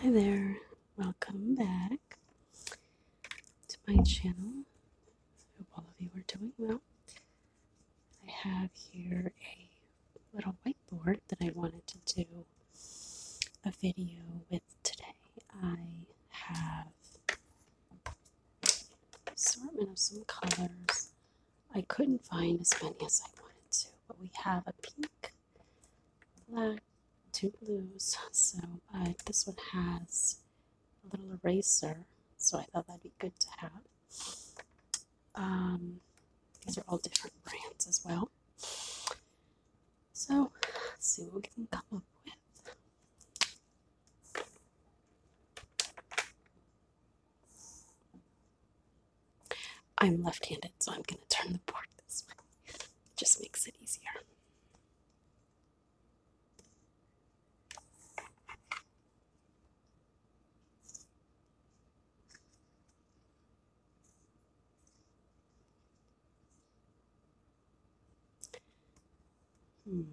Hi there, welcome back to my channel. Hope all of you are doing well. I have here a little whiteboard that I wanted to do a video with today. I have assortment of some colors. I couldn't find as many as I wanted to, but we have a pink black, two blues. So, but uh, this one has a little eraser, so I thought that'd be good to have. Um, these are all different brands as well. So, let's see what we can come up with. I'm left handed, so I'm going to turn the board this way. It just makes it easier. Hmm.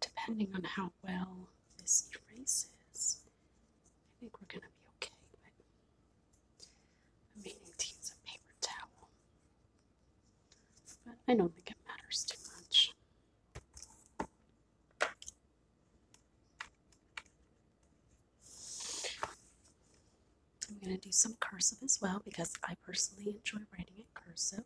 depending on how well this erases, I think we're going to be okay. But I'm meaning to use a paper towel, but I don't think it matters too much. I'm going to do some cursive as well because I personally enjoy writing in cursive.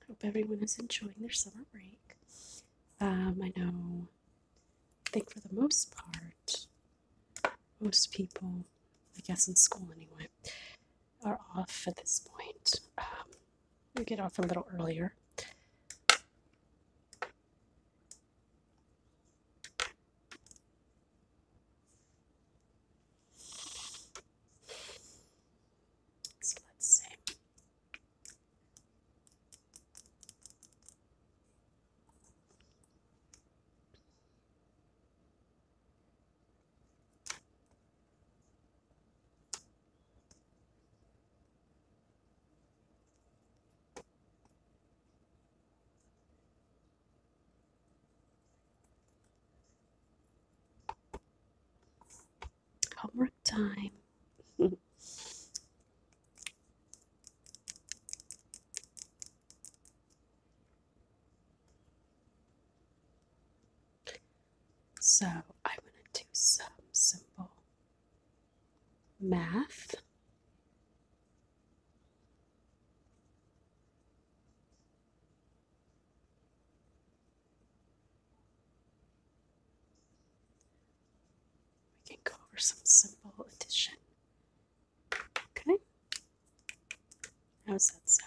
I Hope everyone is enjoying their summer break. Um, I know, I think for the most part, most people, I guess in school anyway, are off at this point. Um, we get off a little earlier. let's see. Homework time. So I'm going to do some simple math. We can go over some simple addition. Okay. How's that sound?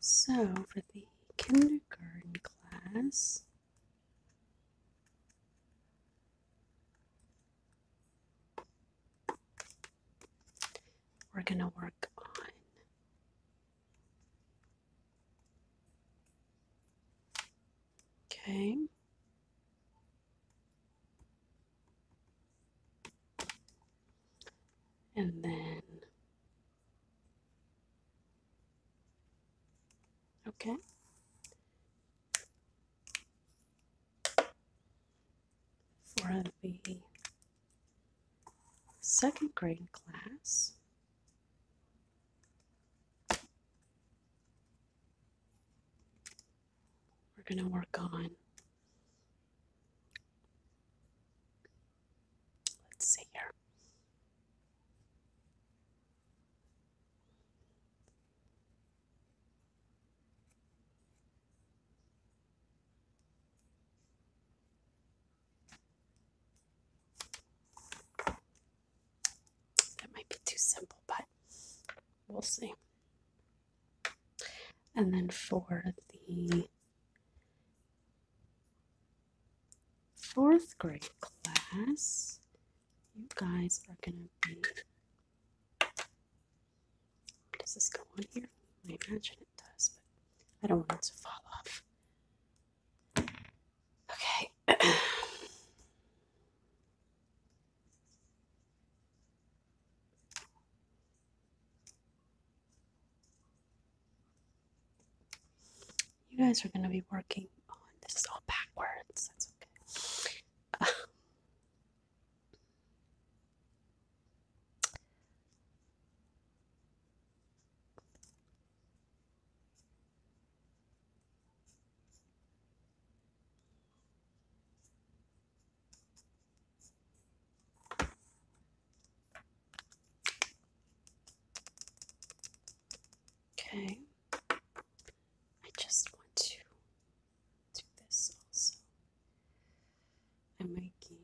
So, for the kindergarten class, we're going to work on okay and then Okay. For the second grade class, we're going to work on Let's see here. That might be too simple, but we'll see. And then for the fourth grade class, you guys are going to be. Does this go on here? I imagine it does, but I don't want it to fall off. Okay. You guys are going to be working on this is all backwards. That's okay. Okay. I just want to do this also. I'm making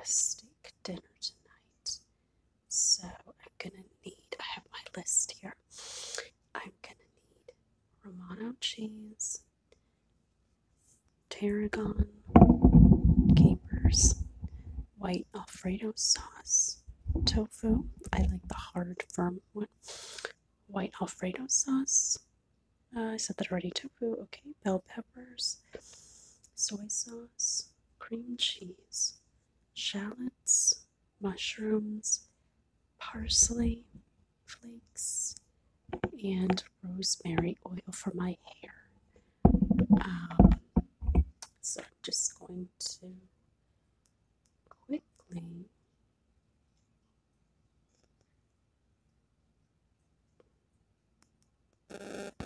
a steak dinner tonight. So I'm gonna need, I have my list here. I'm gonna need Romano cheese, tarragon, capers, white Alfredo sauce, tofu. I like the hard, firm one. White Alfredo sauce. Uh, I said that already. Tofu. Okay. Bell peppers, soy sauce, cream cheese, shallots, mushrooms, parsley, flakes, and rosemary oil for my hair. Um, so I'm just going to quickly no, I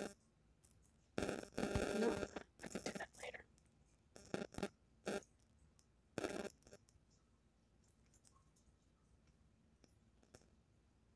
can do that later.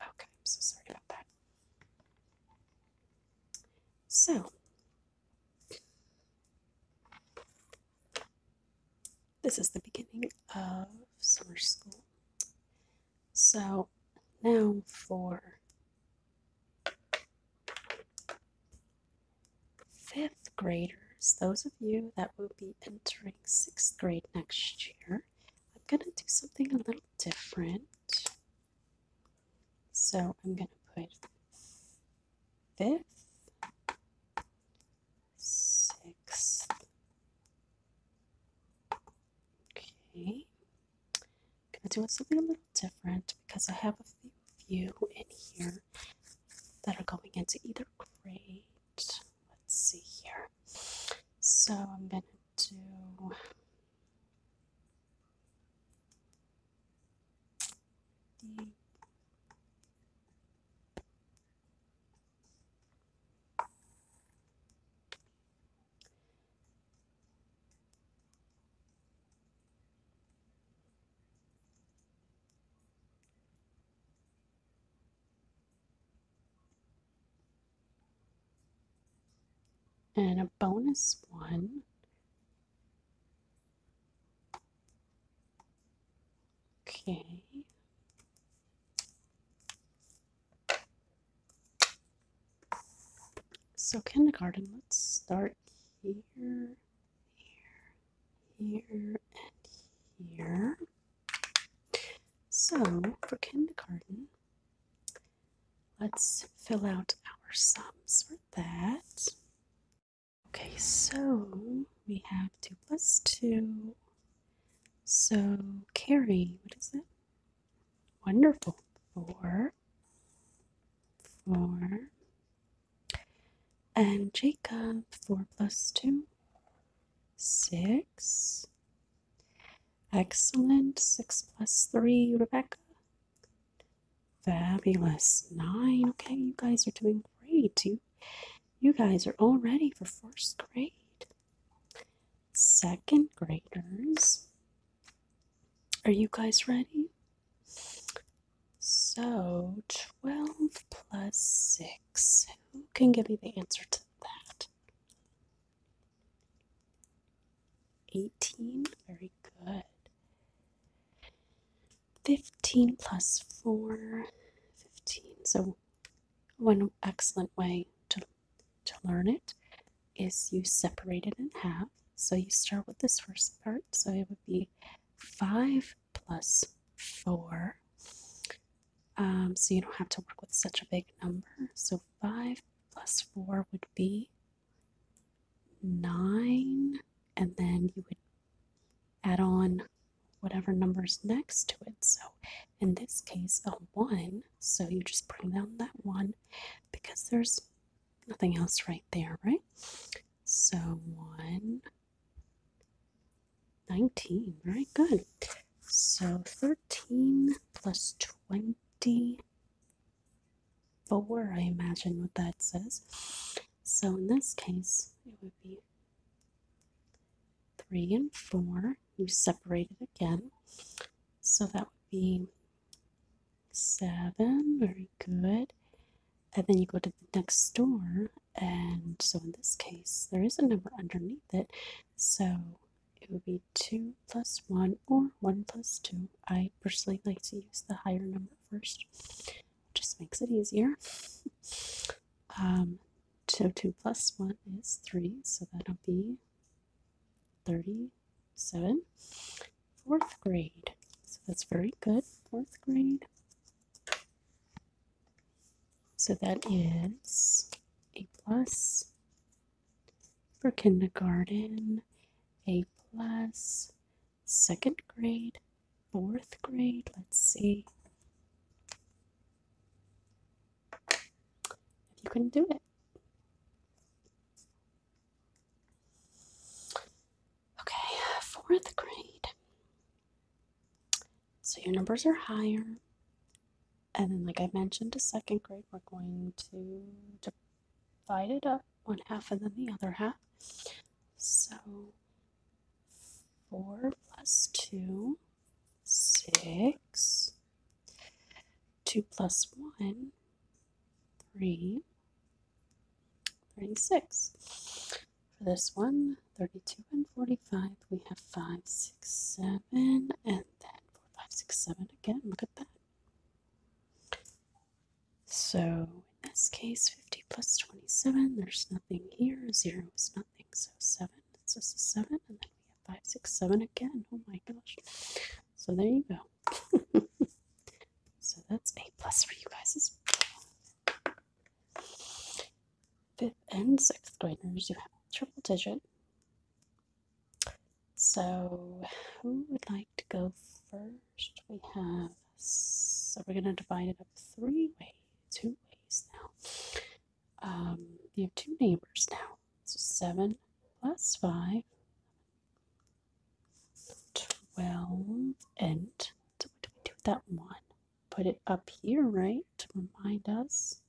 Okay, I'm so sorry about that. So, this is the beginning of summer school. So, now for fifth graders, those of you that will be entering sixth grade next year, I'm going to do something a little different. So I'm going to put fifth, sixth. Okay. going to do something a little different because I have a few in here that are going into either grade. Let's see here. So I'm going to do. And a bonus one Okay. So kindergarten, let's start here here, here, and here. So for kindergarten, let's fill out our sums for that. Okay, so we have 2 plus 2. So carry, what is it? Wonderful. 4. 4. And Jacob, 4 plus 2, 6. Excellent, 6 plus 3, Rebecca. Fabulous, 9. Okay, you guys are doing great. You, you guys are all ready for first grade. Second graders, are you guys ready? So 12 plus 6. Who can give me the answer to that? 18. Very good. 15 plus 4. 15. So one excellent way to, to learn it is you separate it in half. So you start with this first part. So would be 5 plus 4. Um, so you don't have to work with such a big number. So 5 plus 4 would be 9. And then you would add on whatever number's next to it. So in this case, a 1. So you just bring down that 1 because there's nothing else right there, right? So 1, 19, very Good. So 13 plus 24, I imagine what that says. So in this case, it would be 3 and 4. You separate it again. So that would be seven very good and then you go to the next door, and so in this case there is a number underneath it so it would be 2 plus 1 or 1 plus 2 i personally like to use the higher number first just makes it easier um, so 2 plus 1 is 3 so that'll be 30 seven, fourth grade. So that's very good, fourth grade. So that is A plus for kindergarten, A plus, second grade, fourth grade. Let's see. If you can do it. Okay, fourth grade. So your numbers are higher. And then, like I mentioned, to second grade, we're going to divide it up one half and then the other half. So 4 plus 2, 6. 2 plus 1 three, 36. For this one, 32 and 45, we have 5, 6, 7, and then 4, 5, 6, 7 again. Look at that. So in this case, 50 plus 27, there's nothing here. 0 is nothing, so 7 is just a 7. And then we have 5, 6, 7 again. Oh my gosh. So there you go. so that's a plus for you guys Fifth and sixth graders, you have triple digit. So, who would like to go first? We have, so we're going to divide it up three ways, two ways now. Um, you have two neighbors now. So, 7 plus 5 12 and so what do we do with that one? Put it up here, right? To remind us.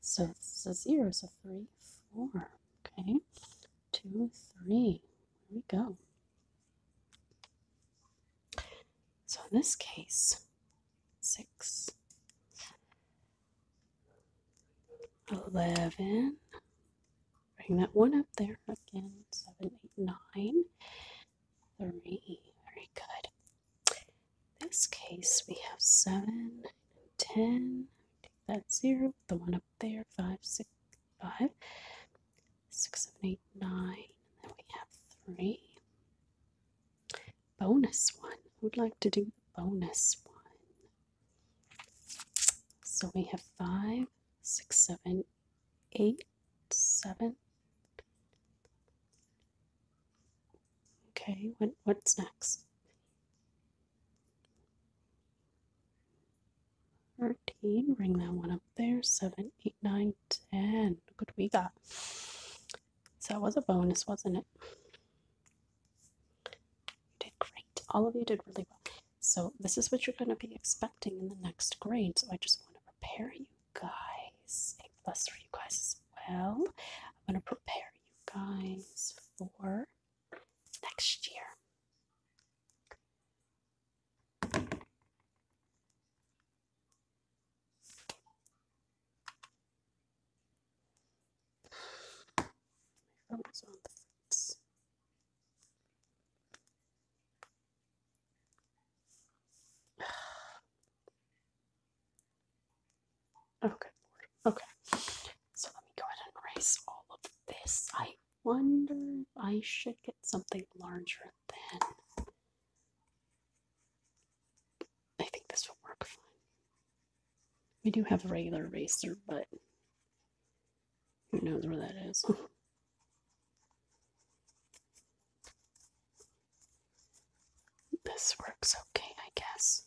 So this is a zero, so three, four. Okay. Two, three. There we go. So in this case, six. 11. Bring that one up there again. 7, 3. Very good. this case, we have 7, 10. Take that 0, the one up there, 5, 6, 5, 6, 7, 8, 9. then we have 3. Bonus one. Who'd like to do the bonus one? So we have five, six, seven, eight, seven. Okay, what, what's next? 13, bring that one up there. 7, 8, 9, 10. Look what we got. So that was a bonus, wasn't it? You did great. All of you did really well. So, this is what you're going to be expecting in the next grade. So, I just want to prepare you guys, and plus for you guys as well. I'm going to prepare you guys for next year. My phone is on the Okay, okay. So let me go ahead and erase all of this. I wonder I should get something larger than. I think this will work fine. We do have a regular eraser, but who knows where that is. this works okay, I guess.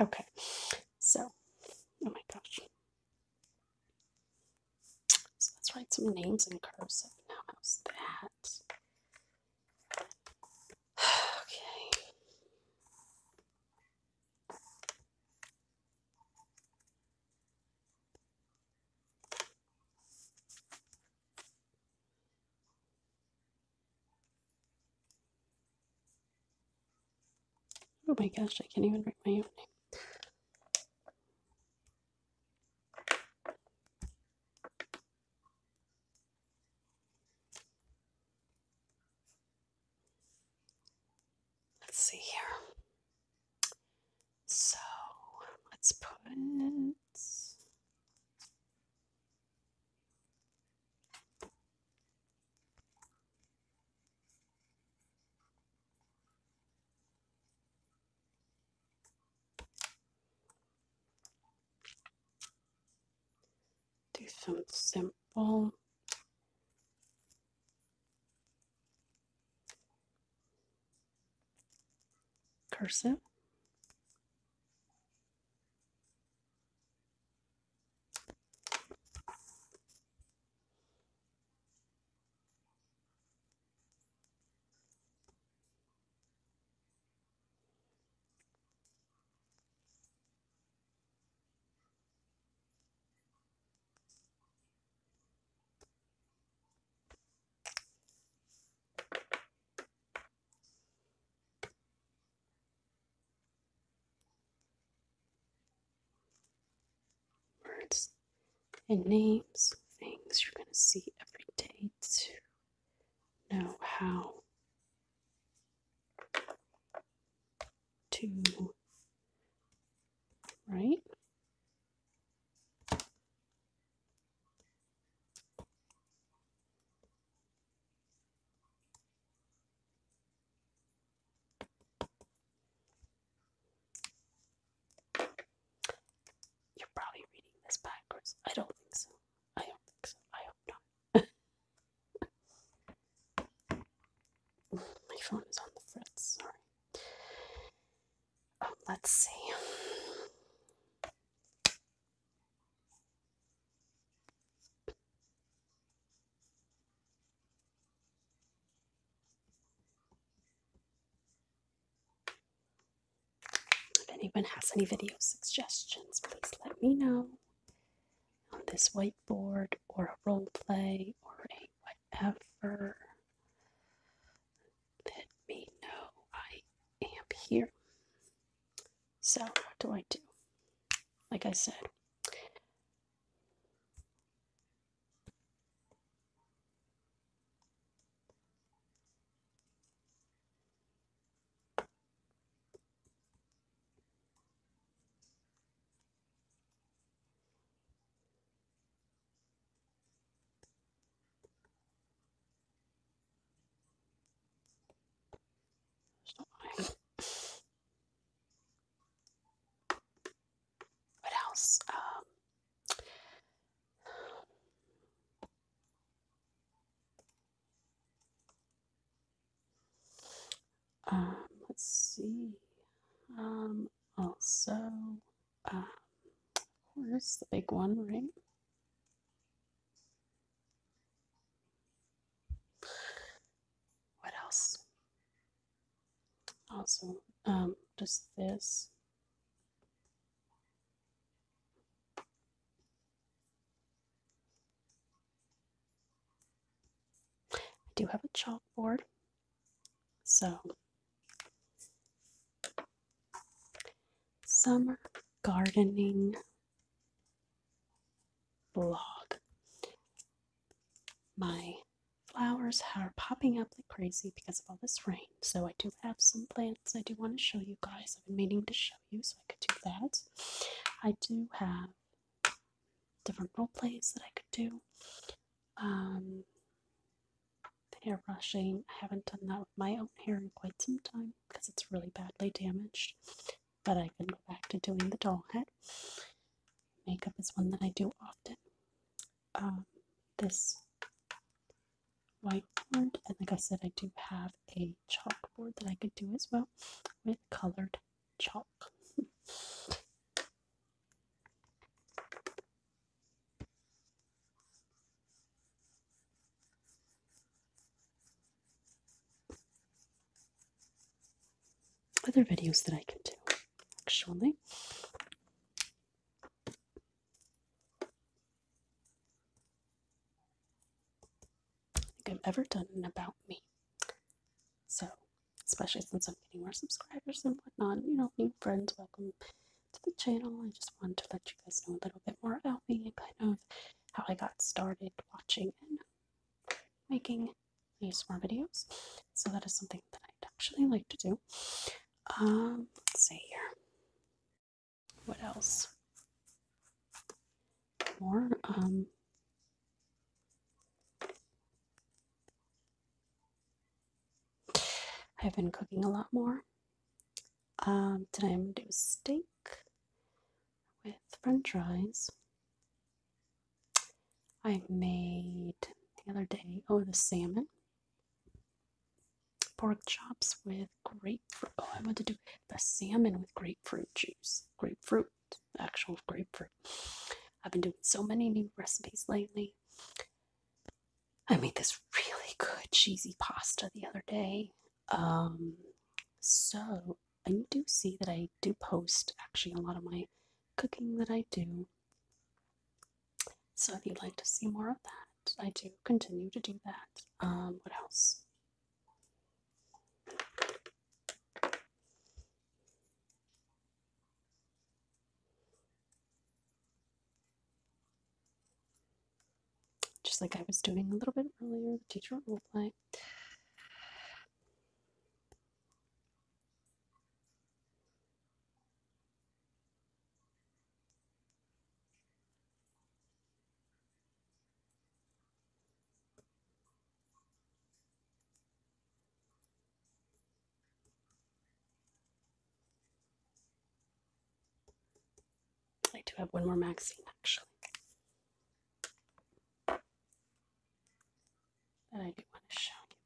Okay, so, oh my gosh. So let's write some names in cursive now. How's that? okay. Oh my gosh, I can't even write my own name. Let's see here. So let's put do something simple cursive words and names, things you're going to see every day to know how to write. You're probably reading this backwards. I don't think so. I don't think so. I hope not. My phone is on the fritz, sorry let's see. If anyone has any video suggestions, please let me know on this whiteboard or a role play or a whatever let me know I am here. So, what do I do? Like I said, what else? Um, um, let's see. Um, also, um, where's the big one, right? What else? Also, um, just this. I do have a chalkboard, so Summer gardening blog. My flowers are popping up like crazy because of all this rain. So I do have some plants I do want to show you guys. I've been meaning to show you, so I could do that. I do have different role plays that I could do. Um, hair brushing. I haven't done that with my own hair in quite some time because it's really badly damaged. But I can go back to doing the doll head. Makeup is one that I do often. Um, this whiteboard, and like I said, I do have a chalkboard that I could do as well with colored chalk. Other videos that I can do, actually. I think I've ever done an about me. So, especially since I'm getting more subscribers and whatnot, you know, new friends, welcome to the channel. I just wanted to let you guys know a little bit more about me and kind of how I got started watching and making these more videos. So that is something that I'd actually like to do. Um, let's see here. What else? More, um, I've been cooking a lot more. Um, today I'm going to do steak with french fries. I made the other day, oh, the salmon. Pork chops with grapefruit. Oh, I want to do the salmon with grapefruit juice. Grapefruit, actual grapefruit. I've been doing so many new recipes lately. I made this really good cheesy pasta the other day. Um, so, and you do see that I do post actually a lot of my cooking that I do. So, if you'd like to see more of that, I do continue to do that. Um, what else? Just like I was doing a little bit earlier, the teacher role play. I do have one more magazine actually. That I do want to show you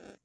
guys.